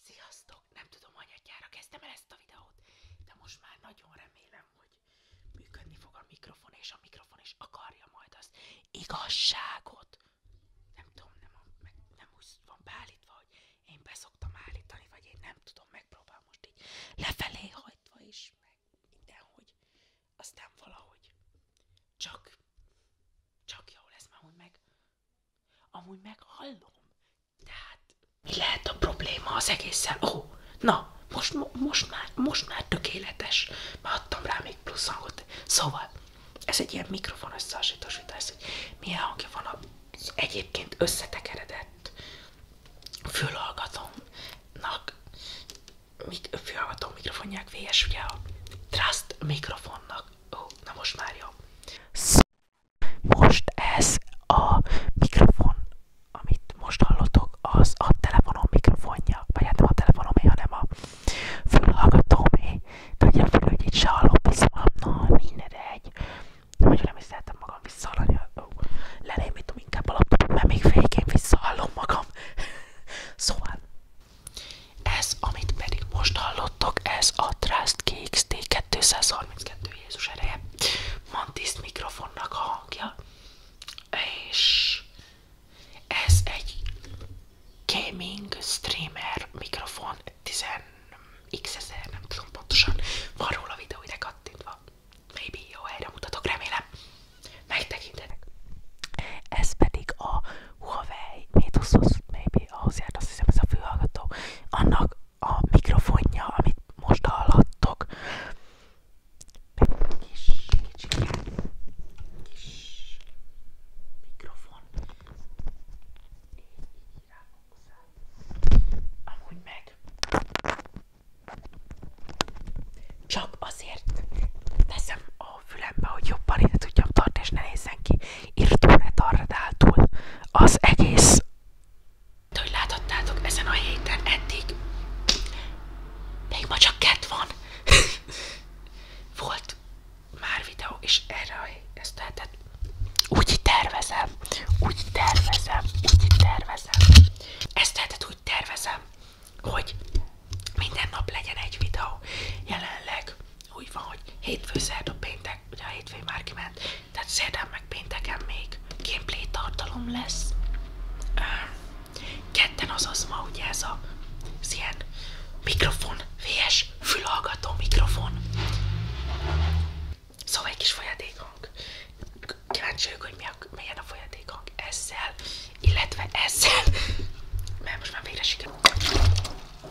Sziasztok! Nem tudom, anyadjára kezdtem el ezt a videót, de most már nagyon remélem, hogy működni fog a mikrofon, és a mikrofon is akarja majd az igazságot. Nem tudom, nem, meg, nem úgy van beállítva, hogy én beszoktam állítani, vagy én nem tudom, megpróbálom most így lefelé hajtva is, meg mindenhogy. Aztán valahogy csak, csak jó lesz, mert meg Amúgy meghallom. Tehát mi lehet a probléma az egészen? Ó, oh, na, most, most, már, most már tökéletes. Már adtam rá még plusz hangot. Szóval, ez egy ilyen mikrofon összehasonlítás, hogy milyen hangja van az egyébként összetekeredett fülhallgatónak, mik, fülhallgató mikrofonják VS, ugye a Trust mikrofonnak. Ó, oh, na most már jó. Most ez a mikrofon, amit most hallottok, az a telefonom mikrofonja, vagy hát nem a telefonomé, hanem a fülhallgatómé. Tudja fel, hogy itt se hallom, na minden egy. Nagyon nem is szeretem magam visszahallani. Lerémítom inkább a laptopot, mert még végén visszahallom magam. szóval, ez, amit pedig most hallottok, ez a Trust KXT 232 Jézus ereje. Mantis mikrofonnak a hangja. És ez egy gaming streamer mikrofon 10 x nem tudom pontosan. Van róla videó ide kattintva. Maybe jó helyre mutatok, remélem. Megtekintetek. Ez pedig a Huawei Mate 20 maybe, ahhoz járt azt hiszem ez a fülhallgató, annak a mikrofonja, amit most hallhattok. Egy kis, kicsikát, kis mikrofon. Amúgy meg csak azért teszem a a fülembe, hogy jobban ide tudjam tartani, és ne nézzen ki írtó retardáltul az egész. De hogy láthattátok, ezen a héten eddig még ma csak kett van. Volt már videó, és erre ezt lehetett. Úgy tervezem, úgy tervezem, úgy tervezem. Ezt lehetett úgy tervezem, hogy minden nap legyen egy videó. Jelenleg úgy van, hogy hétfő, a péntek, ugye a hétfő már kiment, tehát szerdán meg pénteken még gameplay tartalom lesz. Ketten, az ma ugye ez a ez ilyen mikrofon, VS fülhallgató mikrofon. Szóval egy kis folyadékhang. Kíváncsi vagyok, hogy mi a, milyen a folyadékhang ezzel, illetve ezzel, mert most már végre sikerült.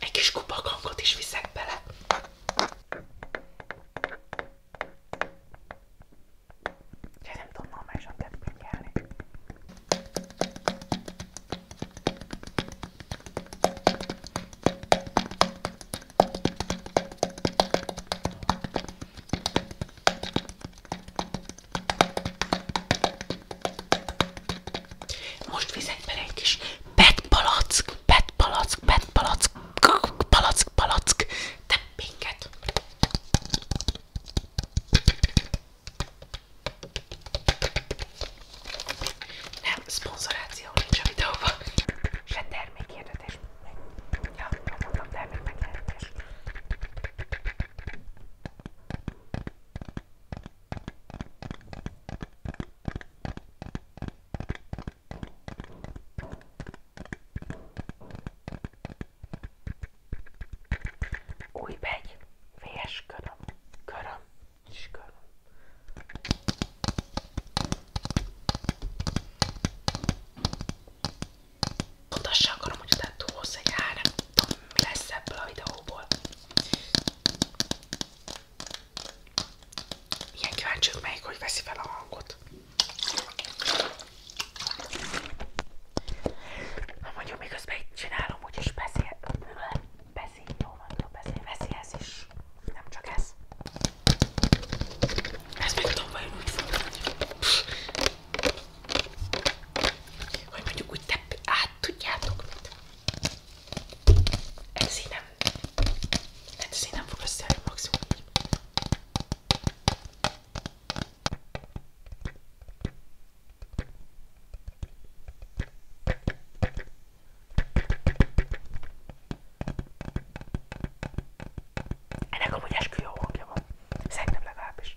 Egy kis kupakangot is viszek bele. Én nem tudom normálisan kedvben kelni. Most vizek bele egy kis petpalack, petpalack, petpalack, palack, palack, teppénket. Nem, szponzoráció nincs a videóban. Se termékhirdetés. Ja, mondtam termék megjelenítés. Új begy, vs. köröm, köröm, çıkarın. Mutassam akarom, hogy utána túlhoz egy három. Mi lesz ebből a videóból? Ilyen kíváncsiak melyik, hogy veszi fel a hangot. Na hát mondjuk miközben itt csinálom, úgyis beszél beszél, jó van, beszél, veszi ez is, nem csak ez. Ez meg tudom vajon úgy fogni, hogy mondjuk úgy tepp, át tudjátok mit. Ez így nem, hát ez így nem fog összeállni maximum így. Ennek amúgy eskü jó hangja van. Szerintem legalábbis.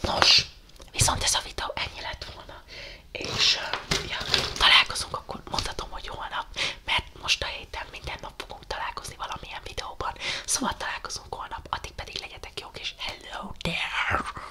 Nos, viszont ez a videó ennyi lett volna, és ja, találkozunk, akkor mondhatom, hogy holnap, mert most a héten minden nap fogunk találkozni valamilyen videóban, szóval találkozunk holnap, addig pedig legyetek jók, és hello there!